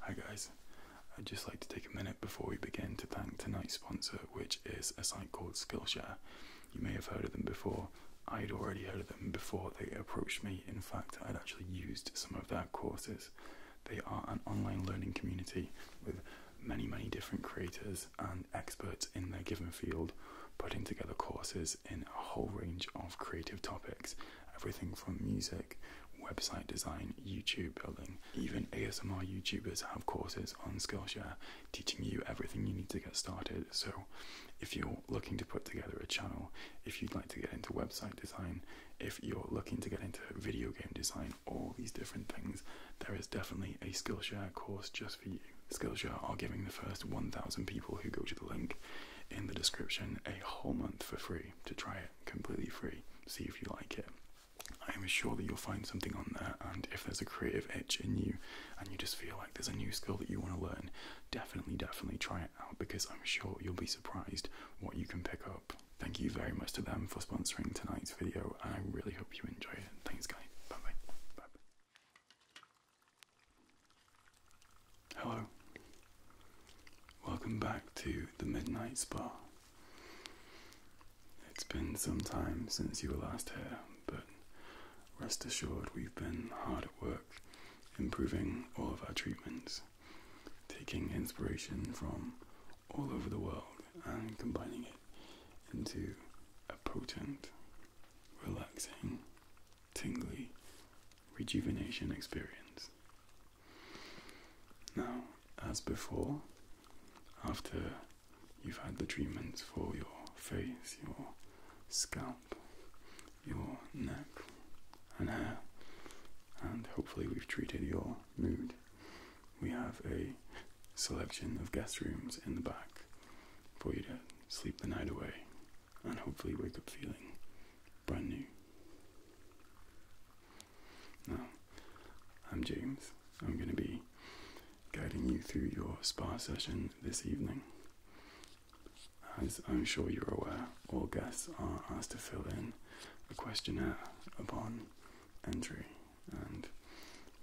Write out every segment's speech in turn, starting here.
Hi guys, I'd just like to take a minute before we begin to thank tonight's sponsor, which is a site called Skillshare. You may have heard of them before. I'd already heard of them before they approached me. In fact, I'd actually used some of their courses. They are an online learning community with many, many different creators and experts in their given field putting together courses in a whole range of creative topics Everything from music, website design, YouTube building. Even ASMR YouTubers have courses on Skillshare teaching you everything you need to get started. So, if you're looking to put together a channel, if you'd like to get into website design, if you're looking to get into video game design, all these different things, there is definitely a Skillshare course just for you. Skillshare are giving the first 1,000 people who go to the link in the description a whole month for free to try it completely free, see if you like it. I am sure that you'll find something on there, and if there's a creative itch in you and you just feel like there's a new skill that you want to learn, definitely, definitely try it out because I'm sure you'll be surprised what you can pick up. Thank you very much to them for sponsoring tonight's video, and I really hope you enjoy it. Thanks, guys. Bye bye. Hello. Welcome back to the Midnight Spa. It's been some time since you were last here, but rest assured we've been hard at work improving all of our treatments, taking inspiration from all over the world and combining it into a potent, relaxing, tingly, rejuvenation experience. Now, as before, after you've had the treatments for your face, your scalp, your neck, and hair, and hopefully we've treated your mood, we have a selection of guest rooms in the back for you to sleep the night away and hopefully wake up feeling brand new. Now, I'm James. I'm going to be guiding you through your spa session this evening. As I'm sure you're aware, all guests are asked to fill in a questionnaire upon entry, and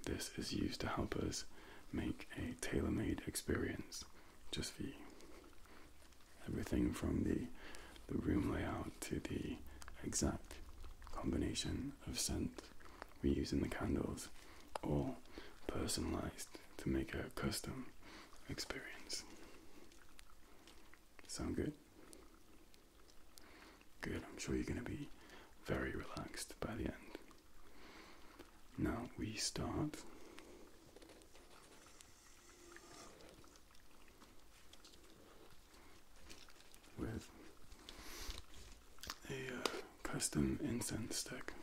this is used to help us make a tailor made experience just for you everything from the the room layout to the exact combination of scent we use in the candles, all personalized to make a custom experience. Sound good? Good, I'm sure you're going to be very relaxed by the end. Now we start with a uh, custom incense stick.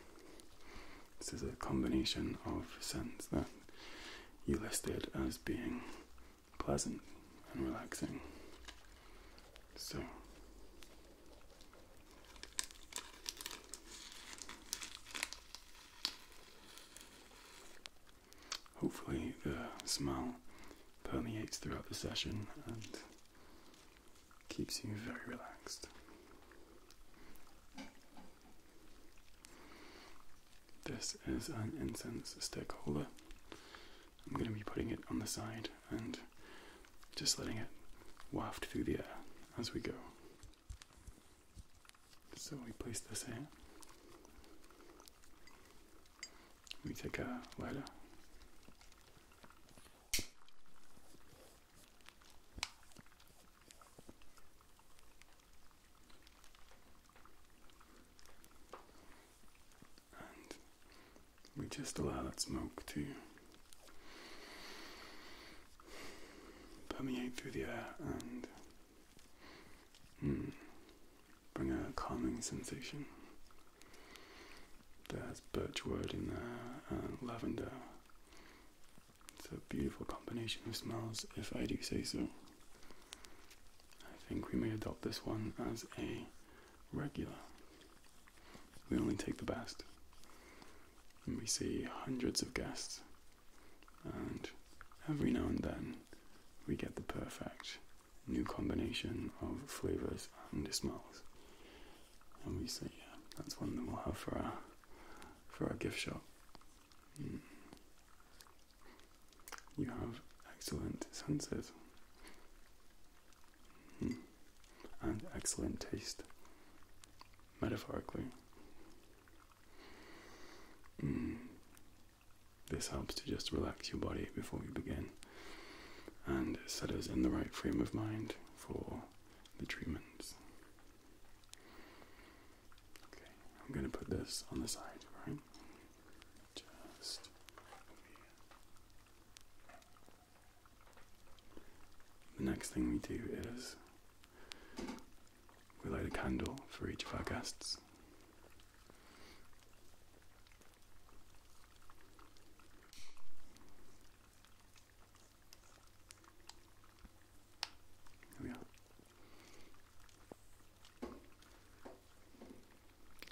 This is a combination of scents that you listed as being pleasant and relaxing. So hopefully the smell permeates throughout the session and keeps you very relaxed. This is an incense stick holder. I'm going to be putting it on the side and just letting it waft through the air as we go. So we place this in. We take a lighter, And we just allow that smoke to permeate through the air and hmm, bring a calming sensation. There's birchwood in there and lavender. It's a beautiful combination of smells, if I do say so. I think we may adopt this one as a regular. We only take the best. And we see hundreds of guests, and every now and then we get the perfect new combination of flavors and smells. And we say, yeah, that's one that we'll have for our for our gift shop. Hmm. You have excellent senses hmm. and excellent taste, metaphorically. Hmm. This helps to just relax your body before we begin and set us in the right frame of mind for the treatments. Okay, I'm going to put this on the side, right? The next thing we do is we light a candle for each of our guests.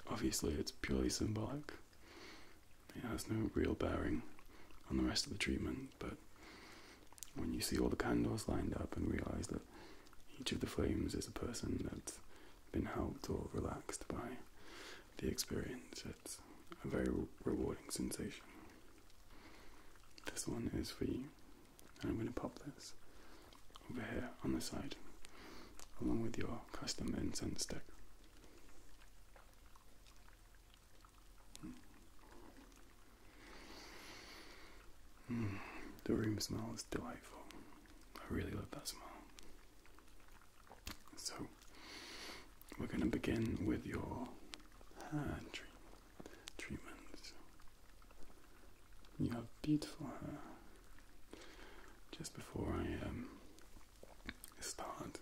Obviously, it's purely symbolic. It has no real bearing on the rest of the treatment, but when you see all the candles lined up and realize that each of the flames is a person that's been helped or relaxed by the experience. It's a very rewarding sensation. This one is for you, and I'm going to pop this over here on the side, along with your custom incense stick. Mm. Mm. The room smells delightful. I really love that smell. So, we're going to begin with your hair treatment. You have beautiful hair. Just before I um, start,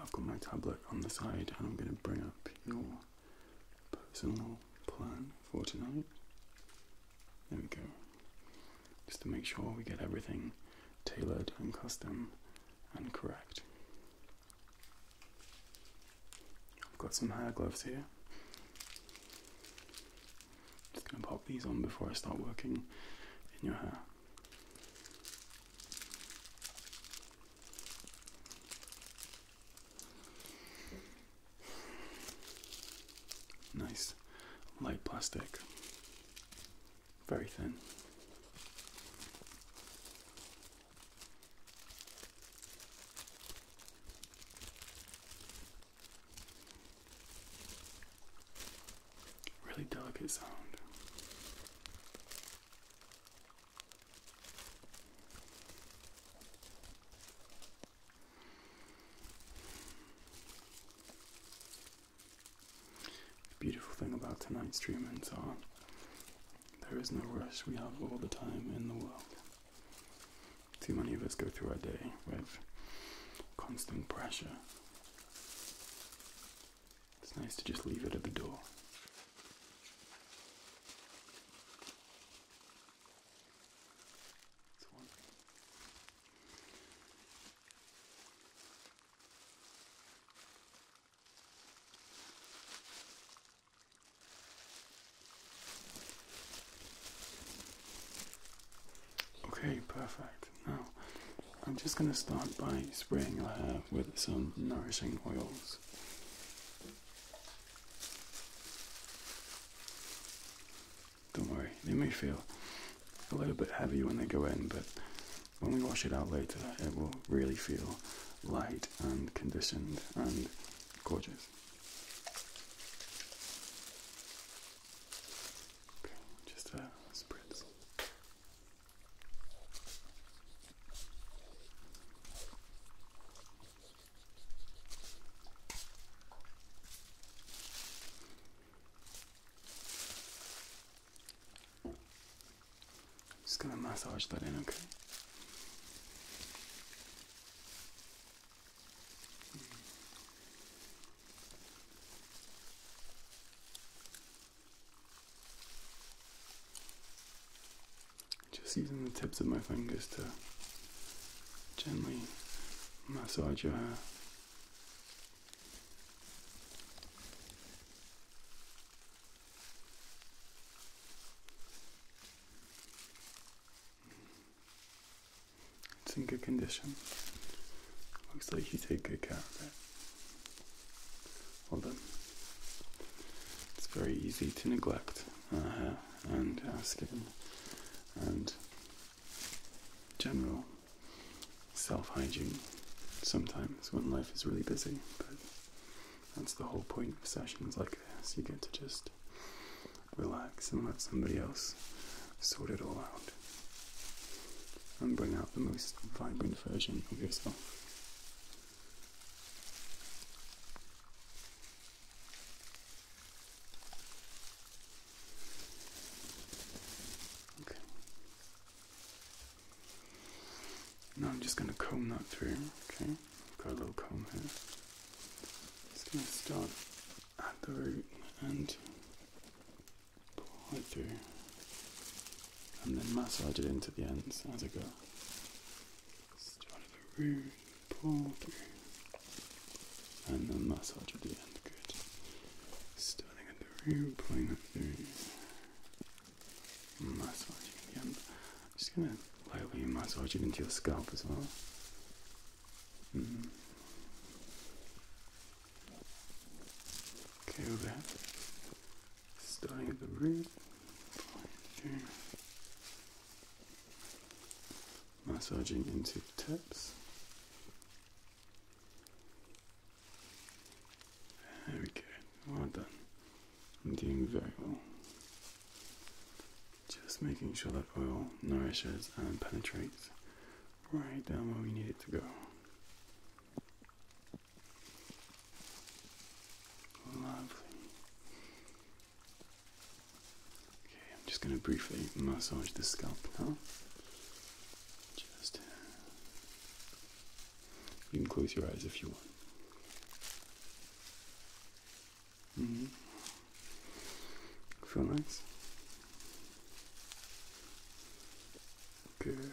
I've got my tablet on the side and I'm going to bring up your personal plan for tonight. There we go. Just to make sure we get everything tailored and custom and correct. I've got some hair gloves here. Just gonna pop these on before I start working in your hair. Nice light plastic, very thin. Really delicate sound beautiful thing about tonight's treatments are there is no rush, we have all the time in the world. Too many of us go through our day with constant pressure. It's nice to just leave it at the door. Okay, perfect. Now, I'm just going to start by spraying your hair with some nourishing oils. Don't worry, they may feel a little bit heavy when they go in, but when we wash it out later, it will really feel light and conditioned and gorgeous. Okay, just a uh, spritz. Just gonna massage that in, okay? Just using the tips of my fingers to gently massage your hair. It's in good condition. Looks like you take good care of it. Well done. It's very easy to neglect our hair and our skin and general self hygiene sometimes when life is really busy, but that's the whole point of sessions like this. You get to just relax and let somebody else sort it all out and bring out the most vibrant version of yourself. Now I'm just going to comb that through, okay? Got a little comb here. Just going to start at the root and pull it through. And then massage it into the ends as I go. Start at the root, pull through. And then massage at the end. Good. Starting at the rear plane of the ear. Massaging again. I'm just gonna lightly massage it into your scalp as well. Mm. Okay, over here. Starting at the root massaging into the tips. Very good, well done. I'm doing very well. Just making sure that oil nourishes and penetrates right down where we need it to go. Lovely. Okay, I'm just going to briefly massage the scalp now. Just. Uh, you can close your eyes if you want. -hmm. Feel nice? Good.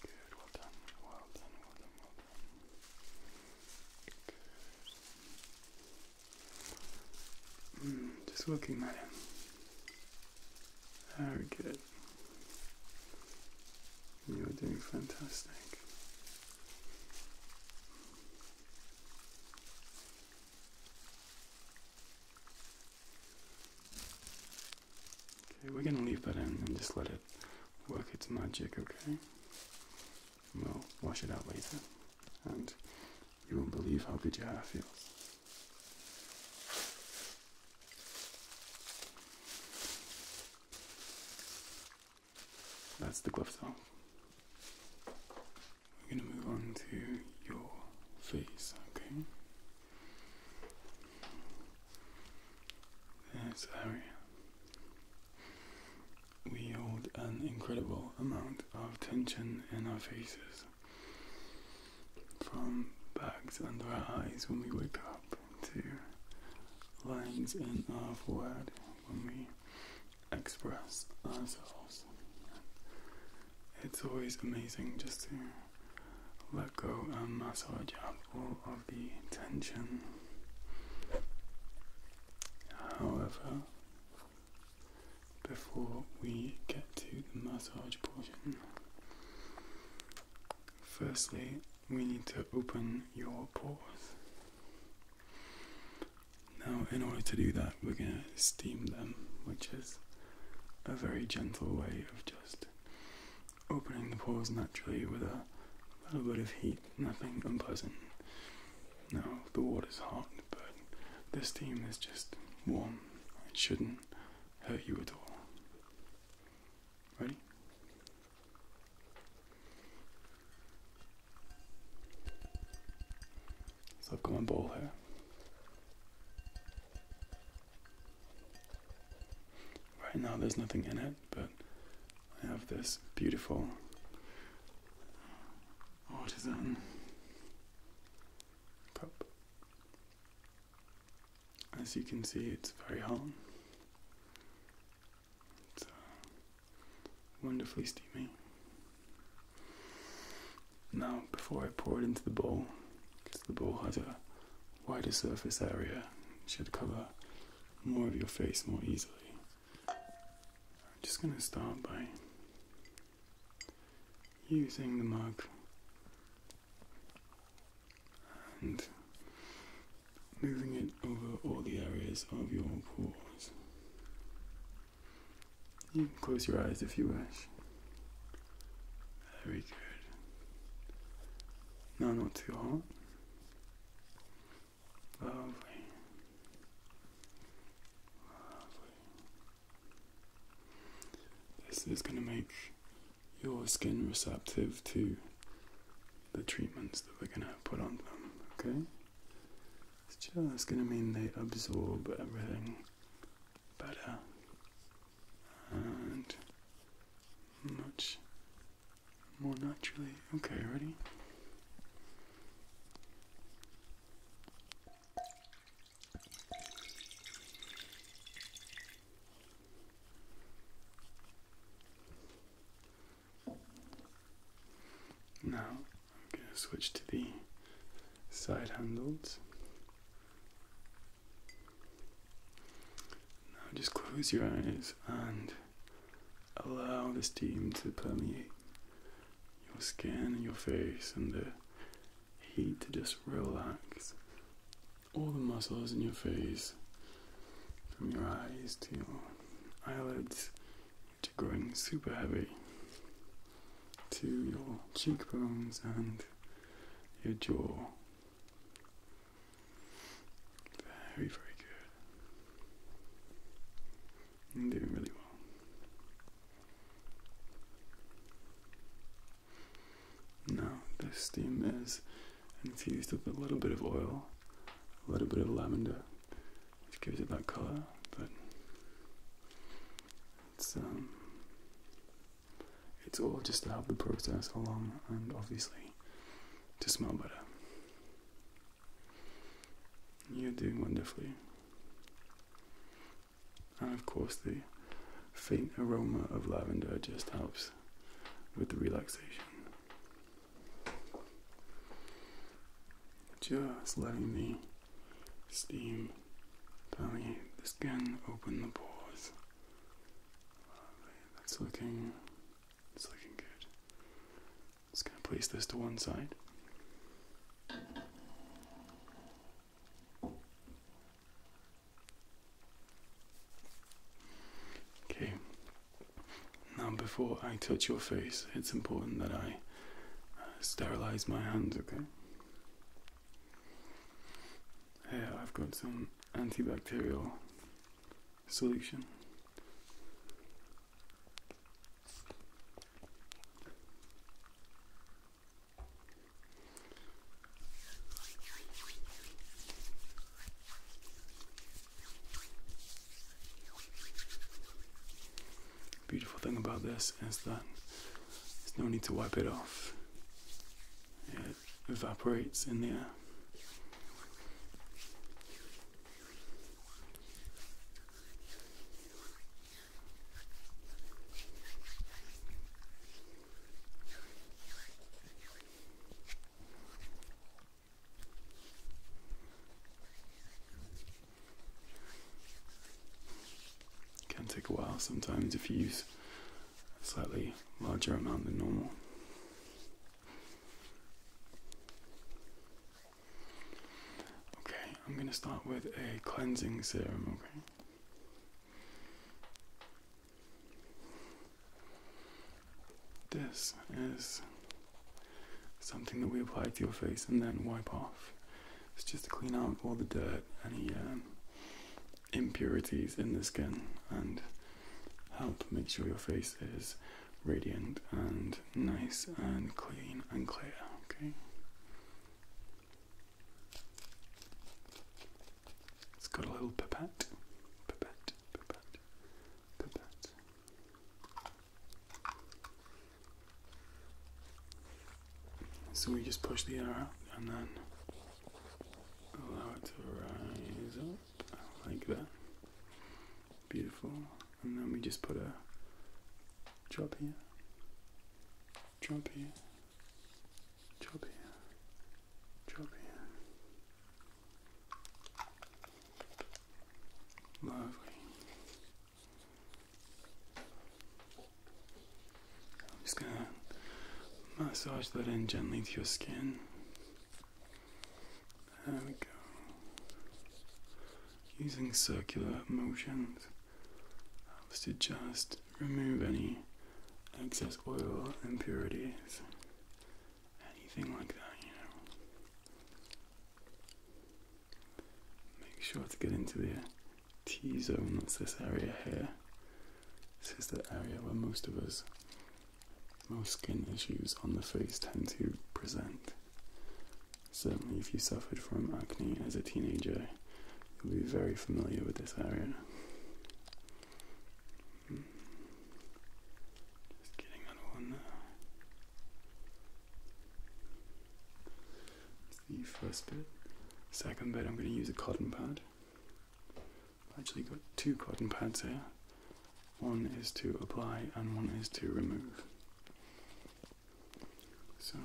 Good, well done, well done, well done, well done. Hmm, just looking, madam. Very good. You're doing fantastic. Okay, we're gonna leave that in and just let it work its magic, okay? We'll wash it out later and you won't believe how good your hair feels. That's the glove off. We're gonna move on to your face, okay? this area. We hold an incredible amount of tension in our faces. From bags under our eyes when we wake up to lines in our forehead when we express ourselves. It's always amazing just to let go and massage up all of the tension. However, before we get to the massage portion, firstly, we need to open your pores. Now, in order to do that, we're going to steam them, which is a very gentle way of just opening the pores naturally with a little bit of heat, nothing unpleasant. Now, the water's hot, but this steam is just warm. It shouldn't hurt you at all. Ready? So I've got my bowl here. Right now, there's nothing in it but I have this beautiful artisan cup. As you can see, it's very hot. It's uh, wonderfully steaming. Now, before I pour it into the bowl, because the bowl has a wider surface area, it should cover more of your face more easily. I'm just going to start by using the mug and moving it over all the areas of your pores. You can close your eyes if you wish. Very good. Now, not too hot. Lovely. Um, Lovely. This is going to make your skin receptive to the treatments that we're going to put on them, okay? It's just going to mean they absorb everything better and much more naturally. Okay, ready? Now I'm going to switch to the side handles. Now just close your eyes and allow the steam to permeate your skin your face, and the heat to just relax all the muscles in your face from your eyes to your eyelids to going super heavy to your cheekbones and your jaw. Very, very good. You're doing really well. Now, this steam is infused with a little bit of oil, a little bit of lavender, which gives it that color, but it's um it's all just to help the process along and obviously to smell better. You're doing wonderfully. And of course, the faint aroma of lavender just helps with the relaxation. Just letting the steam permeate the skin, open the pores. Lovely. That's looking it's looking good. Just gonna place this to one side. Okay. Now, before I touch your face, it's important that I uh, sterilize my hands, okay? Here, I've got some antibacterial solution. Beautiful thing about this is that there's no need to wipe it off. It evaporates in the air can take a while sometimes if you use a slightly larger amount than normal. Okay, I'm going to start with a cleansing serum, okay? This is something that we apply to your face and then wipe off. It's just to clean out all the dirt, any um, impurities in the skin, and help make sure your face is radiant and nice and clean and clear. Okay. It's got a little pipette, pipette, pipette, pipette. So we just push the air out and then allow it to rise up like that. Beautiful. And then we just put a drop here, drop here, drop here, drop here. Lovely. I'm just gonna massage that in gently to your skin. There we go. Using circular motions helps to just remove any excess oil impurities, anything like that, you know. Make sure to get into the T zone, that's this area here. This is the area where most of us most skin issues on the face tend to present. Certainly, if you suffered from acne as a teenager, you'll be very familiar with this area. Just getting that one there. That's the first bit. Second bit, I'm going to use a cotton pad. I've actually got two cotton pads here. One is to apply and one is to remove. So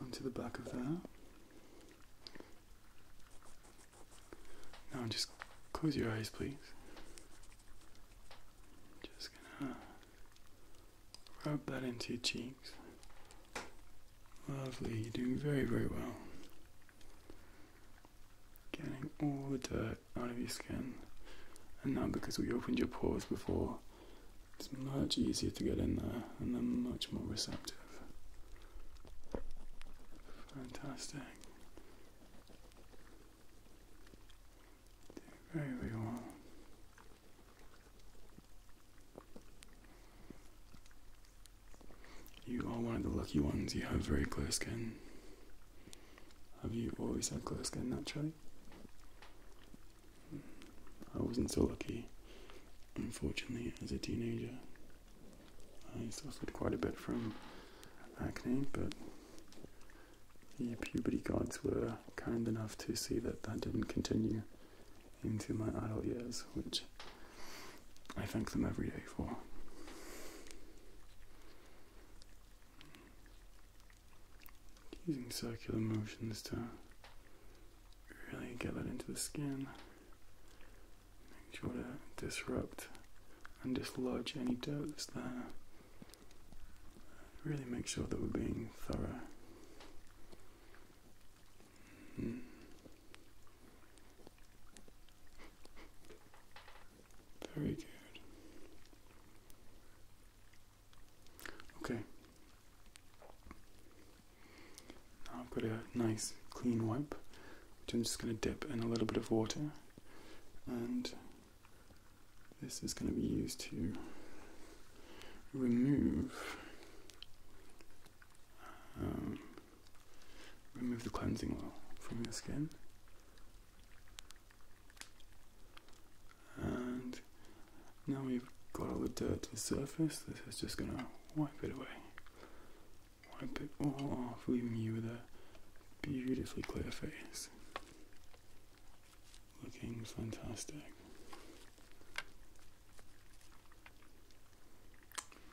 onto the back of that. Now just close your eyes, please. Just gonna Rub that into your cheeks. Lovely, you're doing very, very well. Getting all the dirt out of your skin. And now, because we opened your pores before, it's much easier to get in there and they're much more receptive. Fantastic very well. You are one of the lucky ones. You have very clear skin. Have you always had clear skin naturally? I wasn't so lucky. Unfortunately, as a teenager, I suffered quite a bit from acne, but the puberty gods were kind enough to see that that didn't continue into my adult years, which I thank them every day for. Using circular motions to really get that into the skin, make sure to disrupt and dislodge any dirt that's there. Really make sure that we're being thorough very good. Okay. Now I've got a nice clean wipe, which I'm just going to dip in a little bit of water, and this is going to be used to remove um, remove the cleansing oil from your skin and now we've got all the dirt to the surface this is just going to wipe it away wipe it all off leaving you with a beautifully clear face looking fantastic.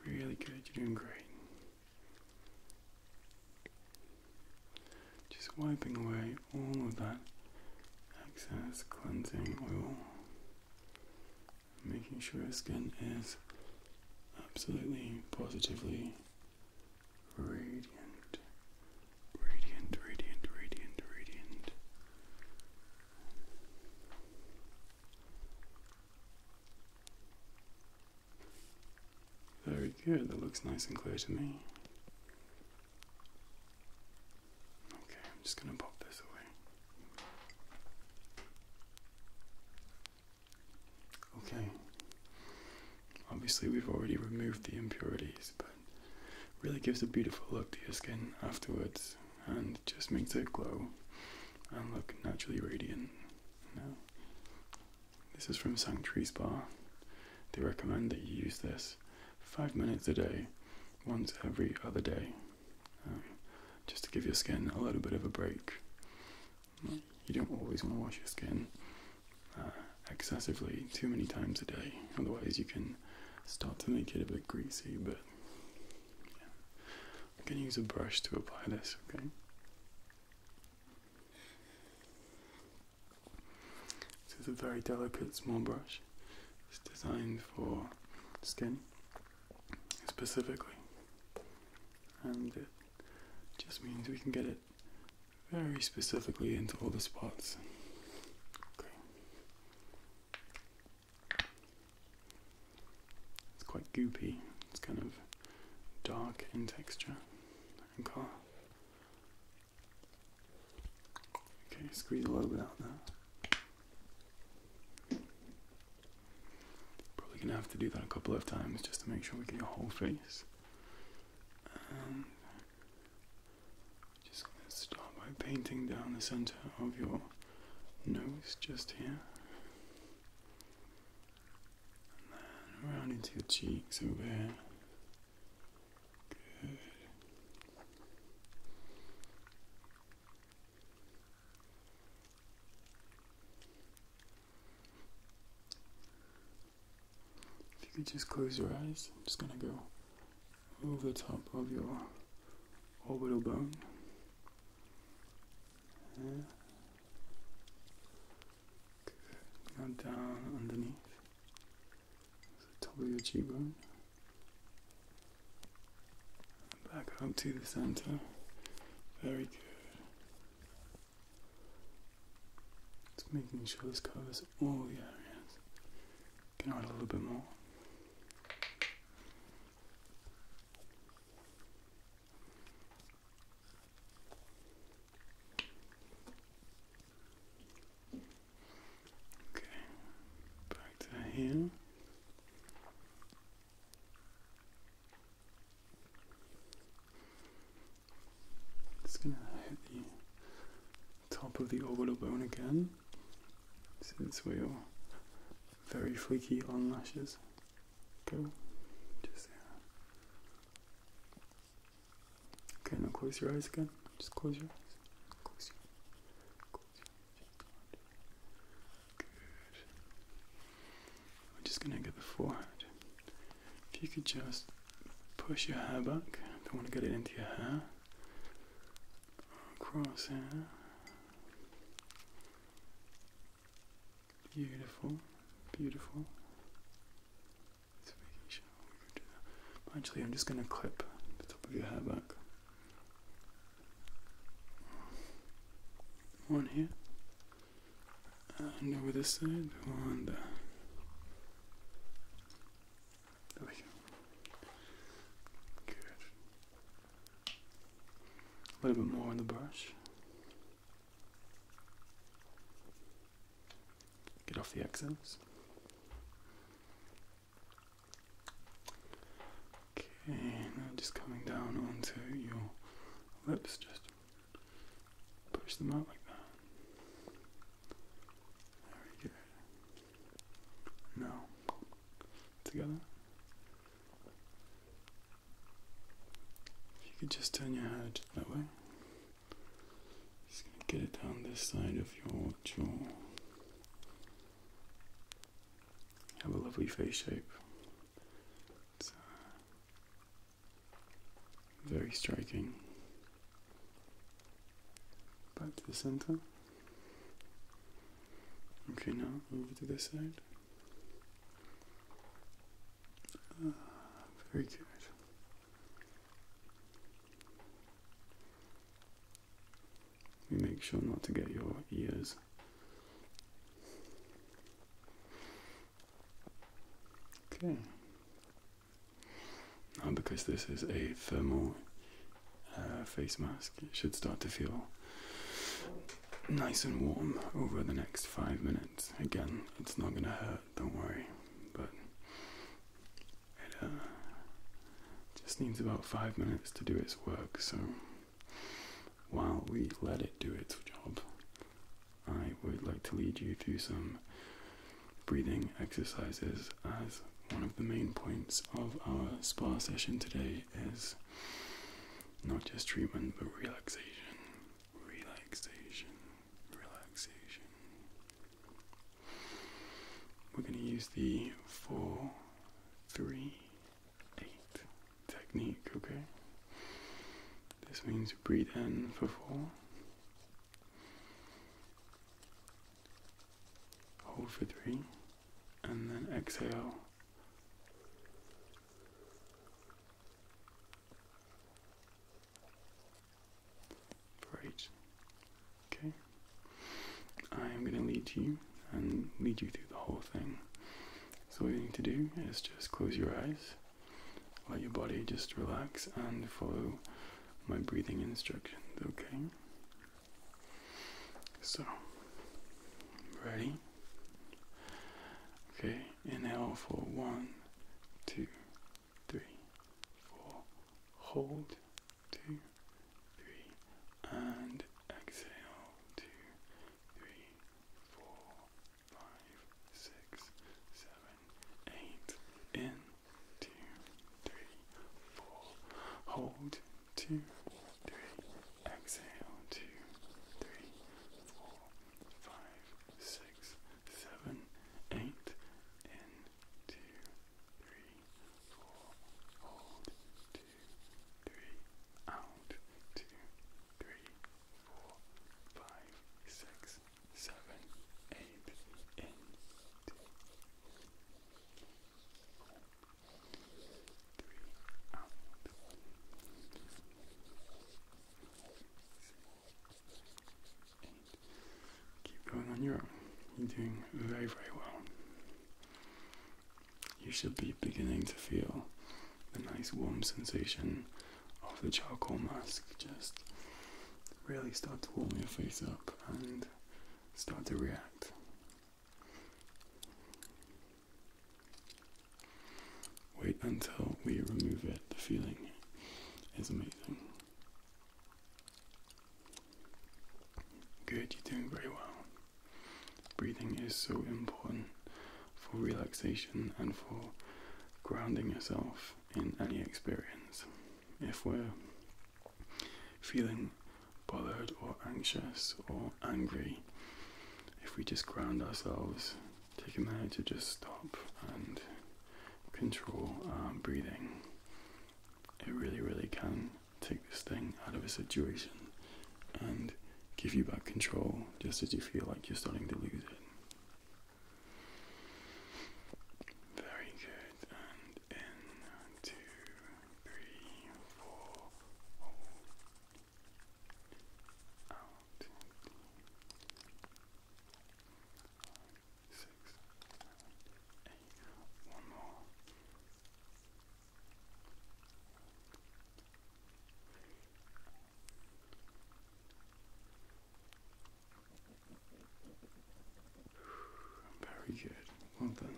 Really good, you're doing great. Just wiping away all of that excess cleansing oil, making sure your skin is absolutely positively radiant, radiant, radiant, radiant, radiant. Very good, that looks nice and clear to me. Okay, I'm just going to pop this away. Okay, obviously, we've already removed the impurities, really gives a beautiful look to your skin afterwards and just makes it glow and look naturally radiant. Now, this is from Sanctuary Spa. They recommend that you use this five minutes a day, once every other day, um, just to give your skin a little bit of a break. You don't always want to wash your skin uh, excessively too many times a day, otherwise, you can start to make it a bit greasy, but I'm gonna use a brush to apply this, okay? This is a very delicate small brush. It's designed for skin specifically, and it just means we can get it very specifically into all the spots. Okay. It's quite goopy, it's kind of dark in texture and colour. Okay, squeeze a little bit out there. Probably gonna have to do that a couple of times just to make sure we get your whole face. Um, just going to start by painting down the center of your nose just here. And then around into your cheeks over here. Good. If you could just close your eyes, I'm just going to go over the top of your orbital bone. down underneath the top of your cheekbone. back up to the center. Very good. Just making sure this covers all the areas you know, a little bit more. Okay, back to here. It's gonna hit the top of the orbital bone again. Since we are very flaky on lashes. Okay, now close your eyes again. Just close your eyes. Good. We're just gonna get the forehead. If you could just push your hair back, don't want to get it into your hair across here. Beautiful, beautiful. Actually, I'm just going to clip the top of your hair back. One here, and over this side, one there we go. Good. A little bit more in the brush. Get off the excess. Okay, now just coming down onto your lips, just push them out like that. Very good. Now, together. If you could just turn your head that way. Just get it down this side of your jaw. Have a lovely face shape. Uh, very striking. Back to the center. Okay, now move to this side. Ah, very good. We make sure not to get your ears. Okay. Now, because this is a thermal uh, face mask, should start to feel nice and warm over the next five minutes. Again, it's not gonna hurt, don't worry, but it uh, just needs about five minutes to do its work. So while we let it do its job, I would like to lead you through some breathing exercises as one of the main points of our spa session today is not just treatment but relaxation, relaxation, relaxation. We're going to use the four, three, eight technique, okay? This means you breathe in for 4. Hold for three and then exhale Great. Okay. I am going to lead you and lead you through the whole thing. So, all you need to do is just close your eyes, let your body just relax, and follow my breathing instructions, okay? So, ready? Okay, inhale for one, two, three, four, hold, two, three, and exhale, two, three, four, five, six, seven, eight, in, two, three, four, hold two, three, exhale, two, three, four, five, six, seven, eight, in, two, three, four, hold, two, three, out, two, three, four, five, six, seven, eight, in, Keep going on your own. You're doing very, very well. You should be beginning to feel the nice warm sensation of the charcoal mask. Just really start to warm your face up and start to react. Wait until we remove it. The feeling is amazing. Good, you're doing very well. Breathing is so important for relaxation and for grounding yourself in any experience. If we're feeling bothered or anxious or angry, if we just ground ourselves, take a minute to just stop and control our breathing, it really, really can take this thing out of a situation and give you back control just as you feel like you're starting to lose it. Very good. And out six, seven, eight, one more. Very good. Well done.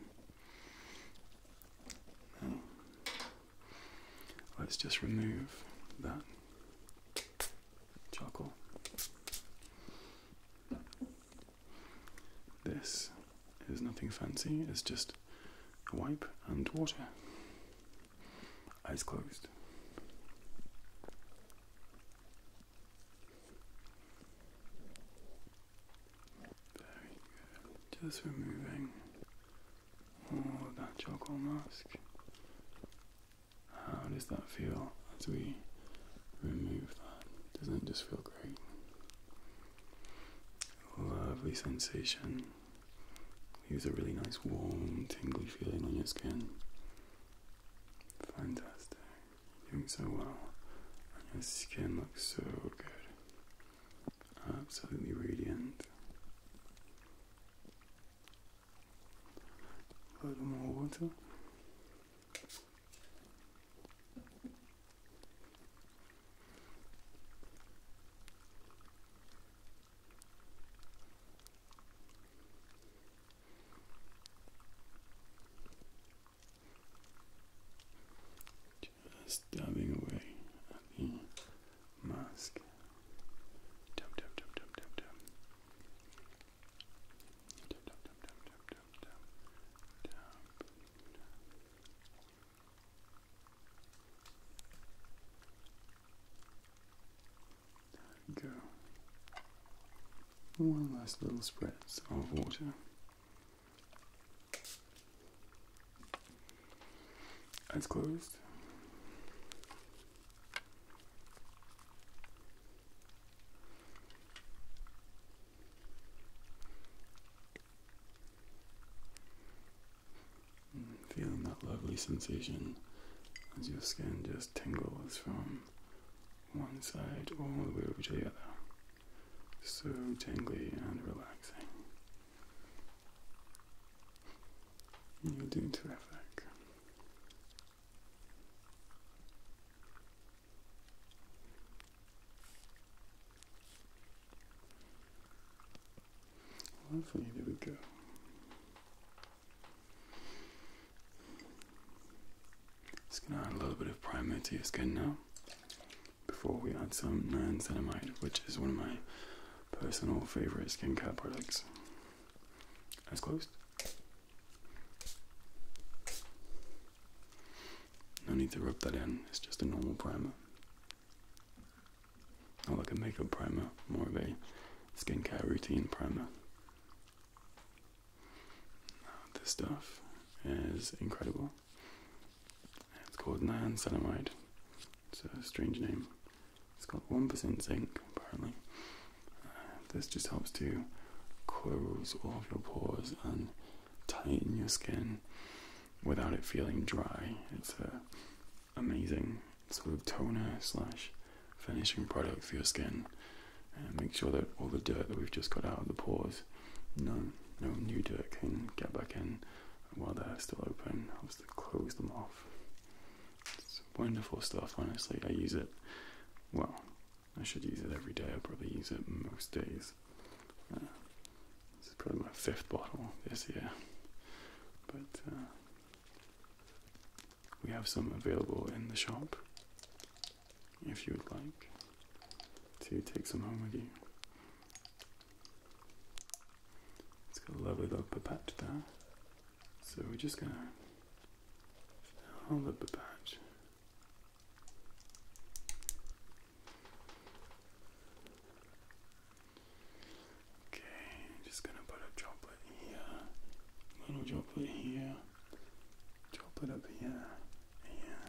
let's just remove that charcoal. This is nothing fancy, it's just a wipe and water. Eyes closed. Very good. Just removing all that charcoal mask. How does that feel as we remove that? Doesn't just feel great? Lovely sensation. Gives a really nice warm, tingly feeling on your skin. Fantastic. You're doing so well. your skin looks so good. Absolutely radiant. A little more water. Just dabbing away at the mask. There we go. One last little spritz of water Eyes closed. Feeling that lovely sensation as your skin just tingles from one side all the way over to the other. So tingly and relaxing. You do terrific. Lovely, there we go. Just gonna add a little bit of primer to your skin now before we add some niacinamide, which is one of my personal favorite skincare products. that's closed. No need to rub that in, it's just a normal primer. Not like a makeup primer, more of a skincare routine primer. this stuff is incredible. It's called Nyan It's a strange name. It's got 1% zinc, apparently. Uh, this just helps to close all of your pores and tighten your skin without it feeling dry. It's an amazing sort of toner slash finishing product for your skin. And make sure that all the dirt that we've just got out of the pores, no, no new dirt can get back in while they're still open, I'll just close them off. It's wonderful stuff, honestly. I use it, well, I should use it every day. I probably use it most days. Uh, this is probably my fifth bottle this year. But uh, we have some available in the shop if you would like to take some home with you. It's got a lovely little pipette there. So we're just going to fill the pipette. Okay, just going to put a droplet here, little droplet here, droplet up here, here,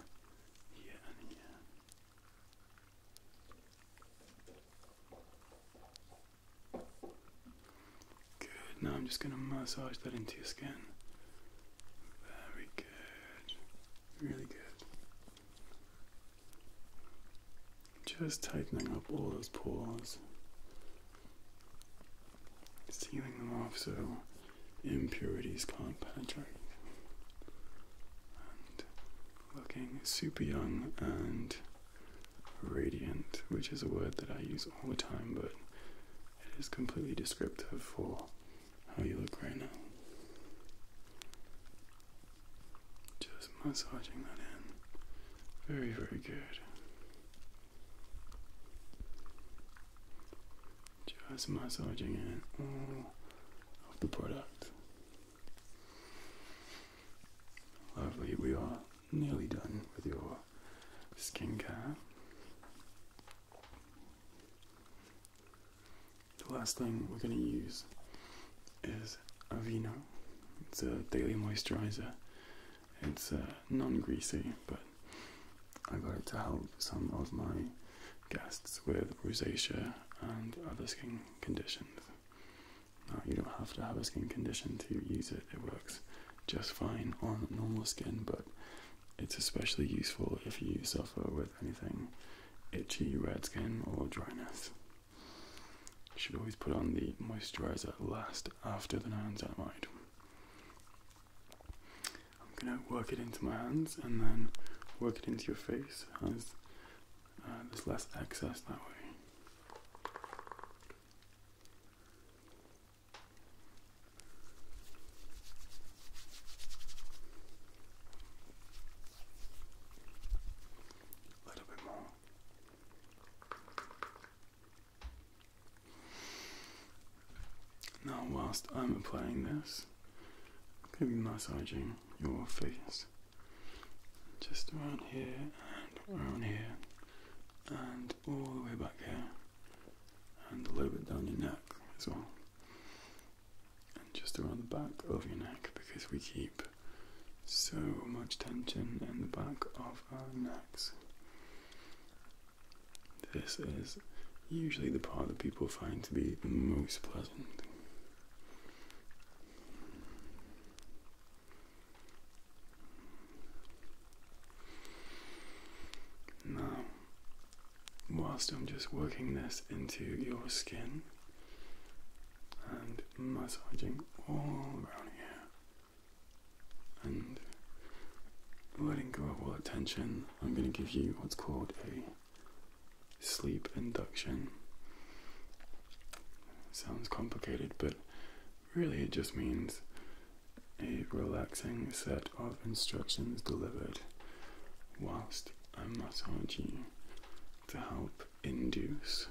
here and here. Good, now I'm just going to massage that into your skin. Very good, really good. Just tightening up all those pores, sealing them off so impurities can't penetrate looking super young and radiant, which is a word that I use all the time, but it is completely descriptive for how you look right now. Just massaging that in. Very, very good. Just massaging in all of the product. Lovely, we are nearly done with your skincare. The last thing we're going to use is Aveeno. It's a daily moisturizer. It's uh, non greasy, but I got it to help some of my guests with rosacea and other skin conditions. Now, you don't have to have a skin condition to use it, it works just fine on normal skin, but it's especially useful if you suffer with anything itchy, red skin, or dryness. You should always put on the moisturizer last after the hands are niacinamide. I'm gonna work it into my hands and then work it into your face as uh, there's less excess that way. A little bit more. Now, whilst I'm applying this, I'm going to be massaging your face just around here and around here and all the way back here and a little bit down your neck as well and just around the back of your neck because we keep so much tension in the back of our necks. This is usually the part that people find to be the most pleasant. Now, whilst I'm just working this into your skin and massaging all around here and letting go of all the tension, I'm going to give you what's called a sleep induction. Sounds complicated, but really it just means a relaxing set of instructions delivered whilst I massage you to help induce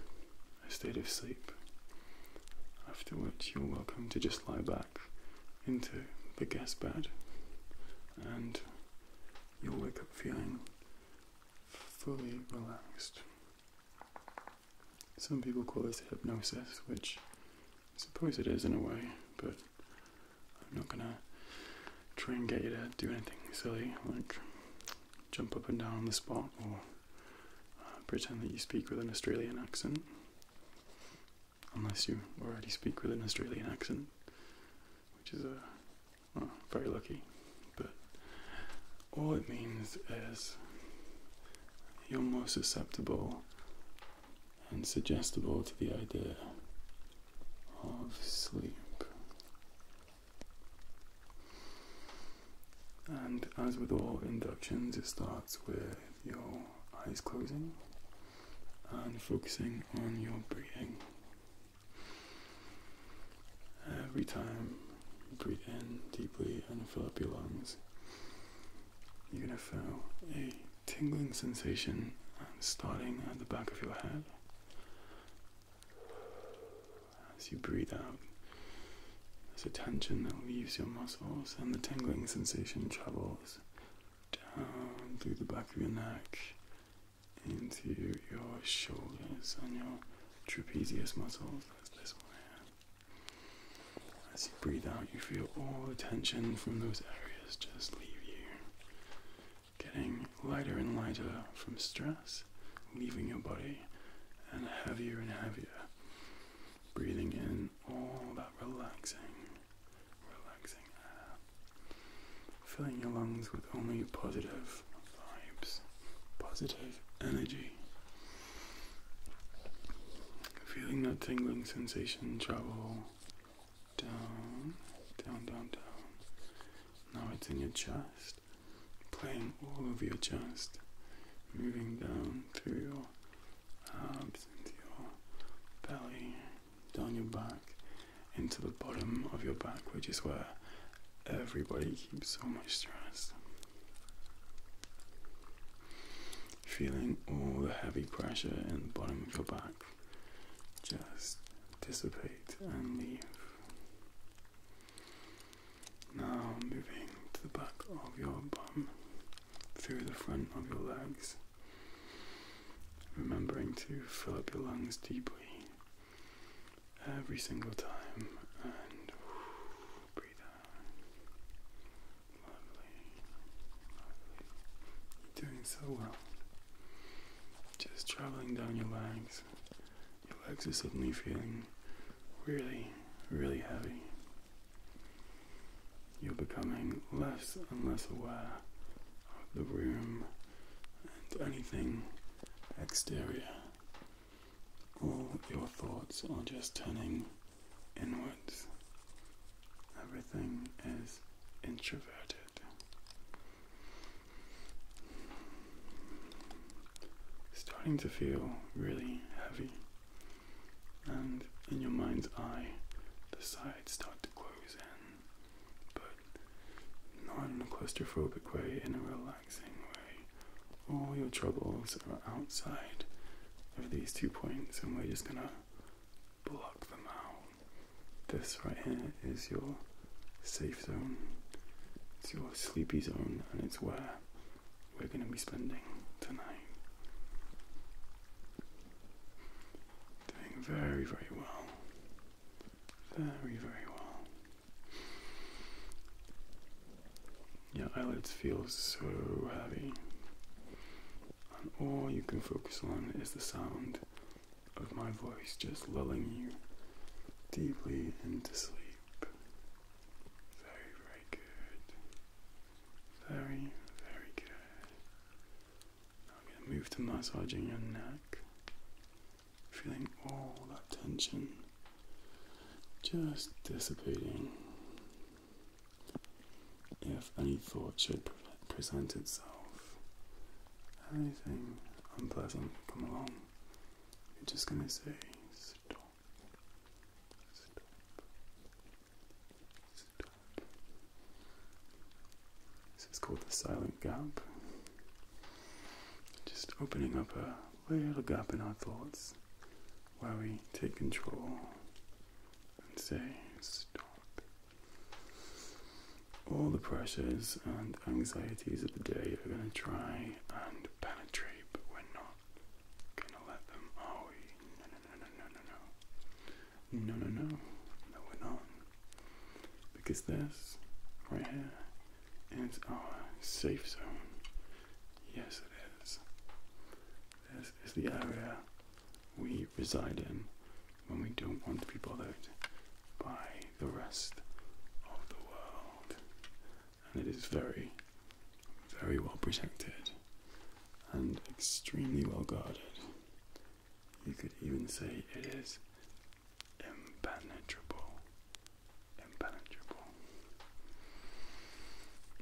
a state of sleep. After which, you're welcome to just lie back into the guest bed and you'll wake up feeling fully relaxed. Some people call this hypnosis, which I suppose it is in a way, but I'm not gonna try and get you to do anything silly like jump up and down on the spot or uh, pretend that you speak with an Australian accent. Unless you already speak with an Australian accent, which is a very lucky, but all it means is you're more susceptible and suggestible to the idea of sleep. And as with all inductions, it starts with your eyes closing and focusing on your breathing. Every time you breathe in deeply and fill up your lungs, you're going to feel a tingling sensation starting at the back of your head. As you breathe out, there's a tension that leaves your muscles and the tingling sensation travels down through the back of your neck into your shoulders and your trapezius muscles. That's this one I As you breathe out, you feel all the tension from those areas just leave you. Getting lighter and lighter from stress, leaving your body, and heavier and heavier. Breathing in all that relaxing, relaxing Filling your lungs with only positive, vibes, positive energy. Feeling that tingling sensation travel down, down, down, down. Now it's in your chest, playing all over your chest, moving down through your abs, into your belly, down your back, into the bottom of your back, which is where everybody keeps so much stress. Feeling all the heavy pressure in the bottom of your back just dissipate and leave. Now moving to the back of your bum through the front of your legs. Remembering to fill up your lungs deeply every single time and breathe out. Lovely, lovely. Doing so well. Just traveling down your legs. Your legs are suddenly feeling really, really heavy. You're becoming less and less aware of the room and anything exterior all your thoughts are just turning inwards. Everything is introverted. Starting to feel really heavy, and in your mind's eye, the sides start to close in, but not in a claustrophobic way, in a relaxed. All your troubles are outside of these two points, and we're just gonna block them out. This right here is your safe zone, it's your sleepy zone, and it's where we're gonna be spending tonight. Doing very, very well. Very, very well. Your eyelids feel so heavy, and all you can focus on is the sound of my voice just lulling you deeply into sleep. Very, very good. Very, very good. Now I'm going to move to massaging your neck, feeling all that tension just dissipating if any thought should present itself, anything unpleasant come along, you're just going to say stop, stop, stop. This is called the silent gap. Just opening up a we look up in our thoughts where we take control and say, Stop. All the pressures and anxieties of the day are going to try and penetrate, but we're not going to let them, No, no, no, no, no, no, no. No, no, no. No, we're not. Because this, right here, Oh, it's our safe zone. Yes, it is. This is the area we reside in when we don't want to be bothered by the rest of the world. And it is very, very well protected and extremely well guarded. You could even say it is impenetrable impenetrable.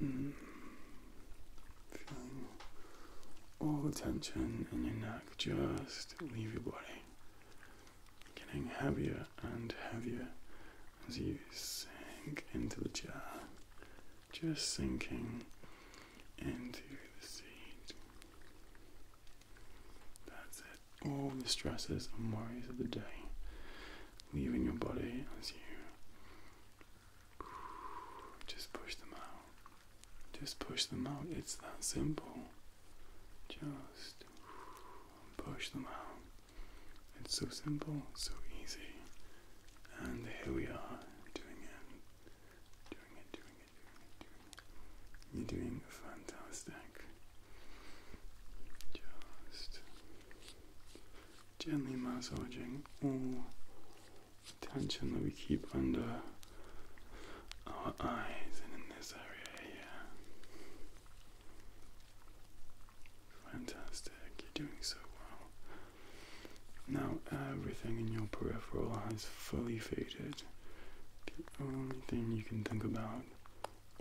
Mm. all the tension in your neck just leave your body, getting heavier and heavier as you sink into the chair, just sinking into the seat. That's it. All the stresses and worries of the day leaving your body as you just push them out. Just push them out. It's that simple. Just push them out. It's so simple, so easy. And here we are doing it. Doing it, doing it, doing it, You're doing fantastic. Just gently massaging all tension that we keep under our eyes and in this area here. Fantastic, you're doing so well. Now everything in your peripheral has fully faded. The only thing you can think about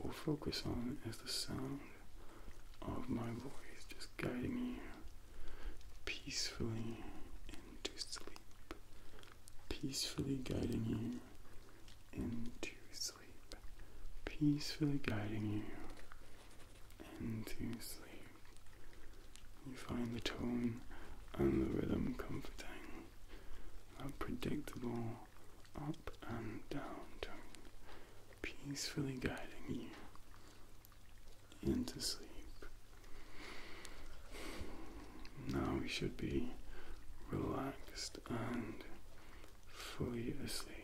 Will focus on as the sound of my voice just guiding you peacefully into sleep, peacefully guiding you into sleep, peacefully guiding you into sleep. You find the tone and the rhythm comforting, a predictable up and down tone peacefully guiding you into sleep. Now we should be relaxed and fully asleep.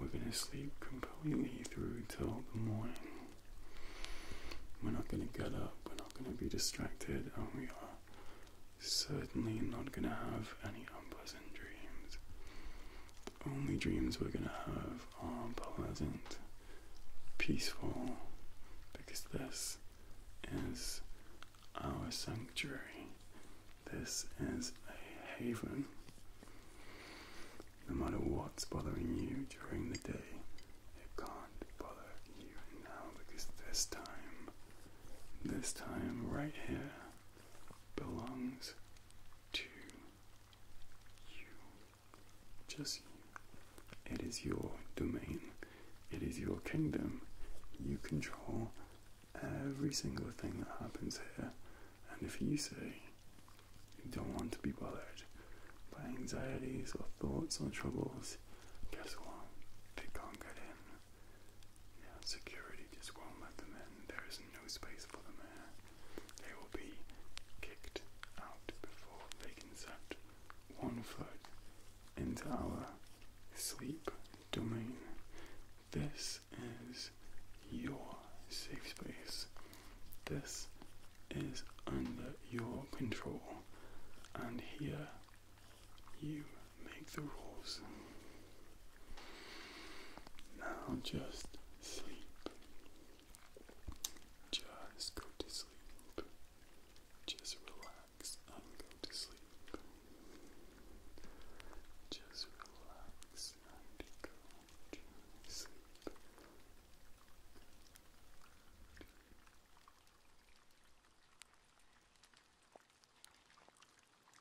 We're going to sleep completely through till the morning. We're not going to get up, we're not going to be distracted, and we are certainly not going to have any unpleasant dreams. The only dreams we're going to have are pleasant, peaceful, because this is our sanctuary. This is a haven. No matter what's bothering you during the day, it can't bother you now because this time, this time right here, belongs to you. Just you. It is your domain, it is your kingdom. You control every single thing that happens here. And if you say you don't want to be bothered by anxieties or thoughts or troubles, guess what? They can't get in. Yeah, security just won't let them in. There is no space for them here. They will be kicked out before they can set one foot into our sleep domain. This is your safe space. This is under your control. And here you make the rules. Now just sleep. Just go to sleep. Just relax and go to sleep. Just relax and go to sleep.